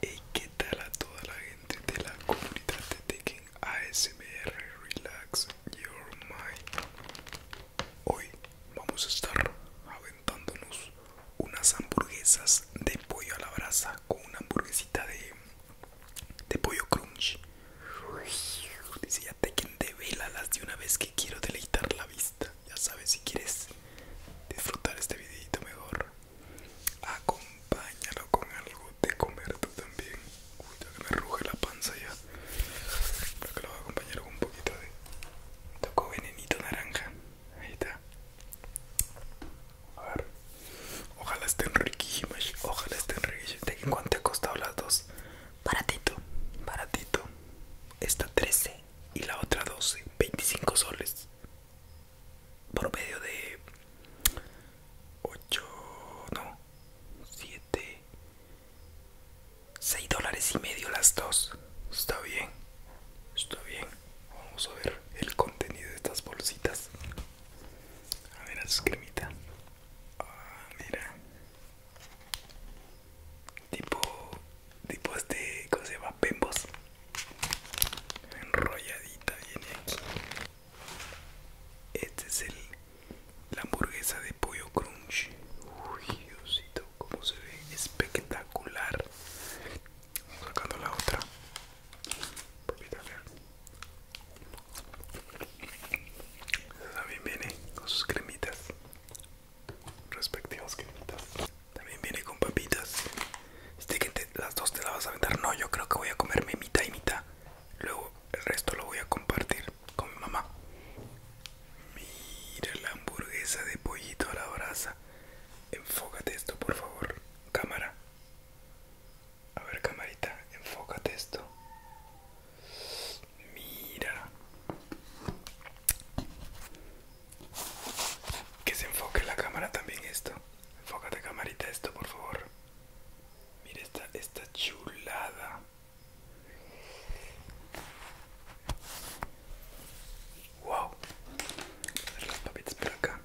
Hey, ¿qué tal a toda la gente de la comunidad de Tekken ASMR Relax Your Mind? Hoy vamos a estar aventándonos unas hamburguesas de pollo a la brasa con una hamburguesita de, de pollo crunch. Dice ya Tekken de de una vez que quiero deleitar la vista ya sabes, si quieres disfrutar este videito mejor, acompáñalo con algo de comer también. Uy, que me ruge la panza ya. Creo que lo voy a acompañar con un poquito de Tocó venenito naranja. Ahí está. A ver. Ojalá estén riquísimas. Ojalá estén riquísimas. ¿De cuánto te ha costado las dos? Baratito. Baratito. Esta 13 y la otra 12. 25 soles. Por promedio de 8, no, 7, 6 dólares y medio las dos. Está bien, está bien. Vamos a ver el contenido de estas bolsitas. A ver, a su Ah, mira tipo tipo este cómo se llama pembos enrolladita viene aquí este es el la hamburguesa de pollo crunch uy diosito como se ve espectacular sacando la otra también viene con sus cremitas respectivos que También viene con papitas. Este que las dos te las vas a aventar. No, yo creo que voy a comerme mitad y mitad. Luego el resto lo voy a compartir con mi mamá. Mira la hamburguesa de pollito a la brasa. Enfócate esto, por favor. Cámara. A ver, camarita, enfócate esto. Mira. Que se enfoque la cámara también esto. Enfócate camarita esto, por favor. Mira esta, esta chulada. Wow. las papitas por acá.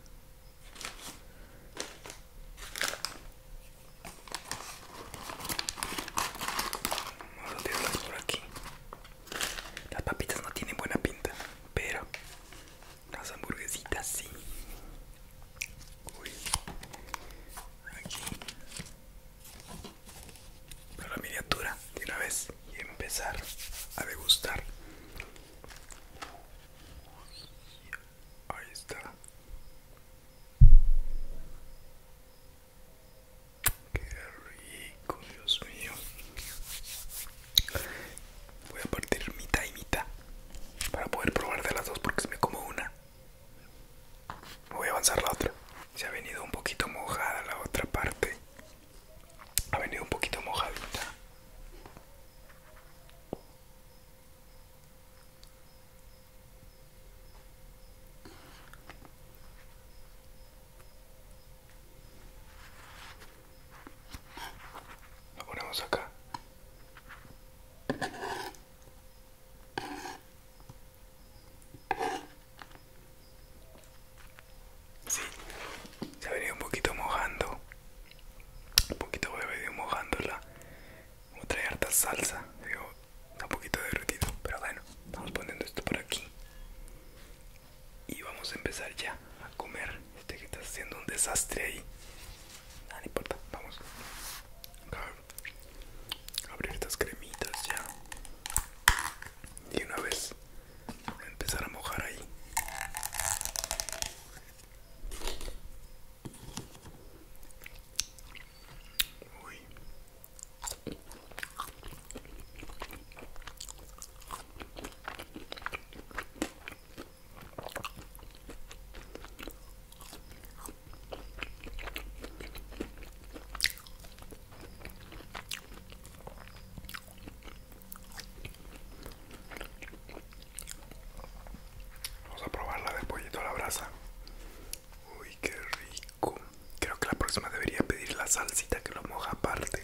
por aquí. Las papitas no tienen buena pinta, pero las hamburguesitas sí. Uy. Aquí. la miniatura de una vez y empezar a degustar. Ahí está. Qué rico, Dios mío. Voy a partir mitad y mitad para poder probar de las dos porque si me como una voy a avanzar la otra. Se ha venido un poquito mojada la otra parte. Ha venido un poquito mojadita. Lo ponemos acá. Sí, se ha un poquito mojando. Un poquito voy a venir mojándola. otra trae harta salsa. Está un poquito derretido, pero bueno, vamos poniendo esto por aquí. Y vamos a empezar ya a comer. Este que está haciendo un desastre ahí. Ah, nada importa, vamos. A abrir estas cremitas ya. Y una vez empezar a mojar ahí. Vamos a probar la de pollito a la brasa. Uy, qué rico. Creo que la próxima debería pedir la salsita que lo moja aparte.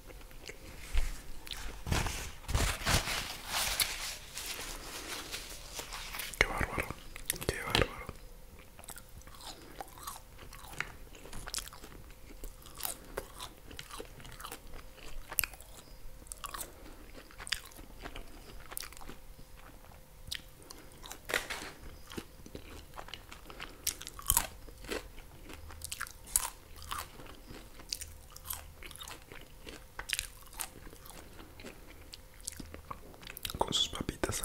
Qué bárbaro, qué bárbaro. Con sus papitas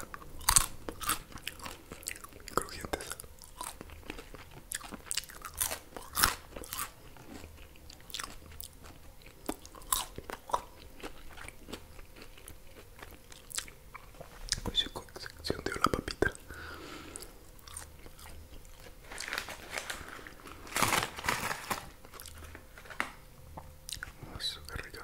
crujientes. Hoy se hundió la papita eso, qué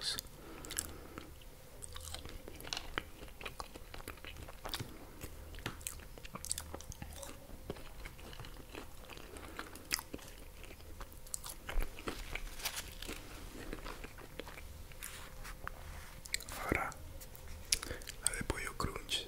Ahora la de pollo crunch.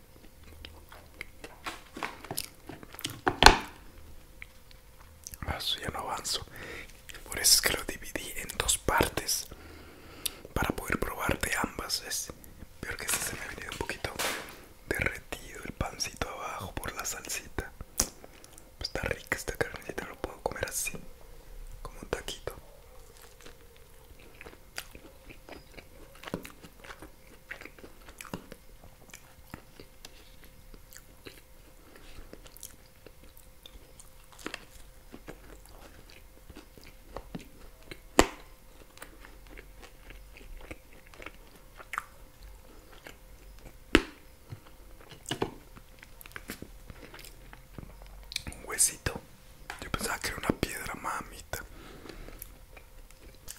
Eso ya no avanzo. Por eso es que lo dividí en dos partes. Para poder probar de ambas. Es peor que este se me ha venido un poquito derretido el pancito abajo por la salsita. está rica esta carnecita, lo puedo comer así. Como un taquito. Un huesito. Yo pensaba que era una piedra mamita.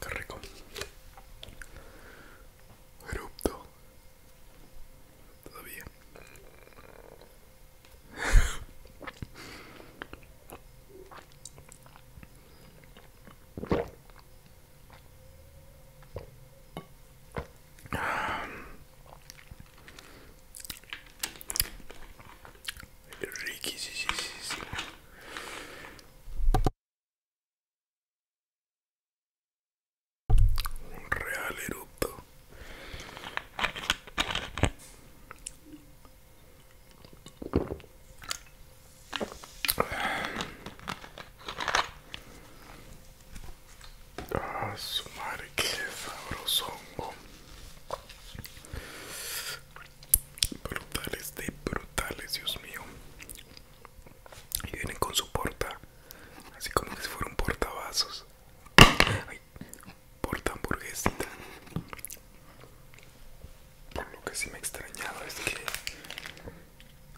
Qué rico. Todavía. Ricky, sí, sí, sí. Un real erupto. Ah, su madre, qué sabroso brutales de brutales, Dios mío. Y vienen con su porta, así como que si fuera un portavasos. porta hamburguesita. Por lo que sí me extrañado es que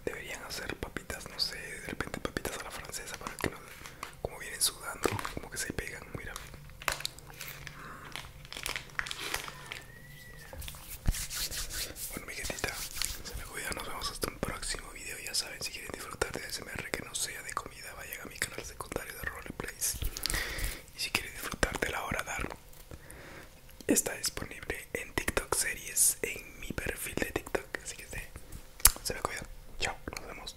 deberían hacer papitas, no sé, de repente papitas a la francesa para que no, como vienen sudando, como que se pegan, mira. Bueno mi gentita, se me cuida, nos vemos hasta un próximo video Ya saben, si quieren disfrutar de SMR que no sea de comida Vayan a mi canal secundario de Roleplays Y si quieren disfrutar de la hora dar Está disponible en TikTok series En mi perfil de TikTok Así que se, me cuidan, chao, nos vemos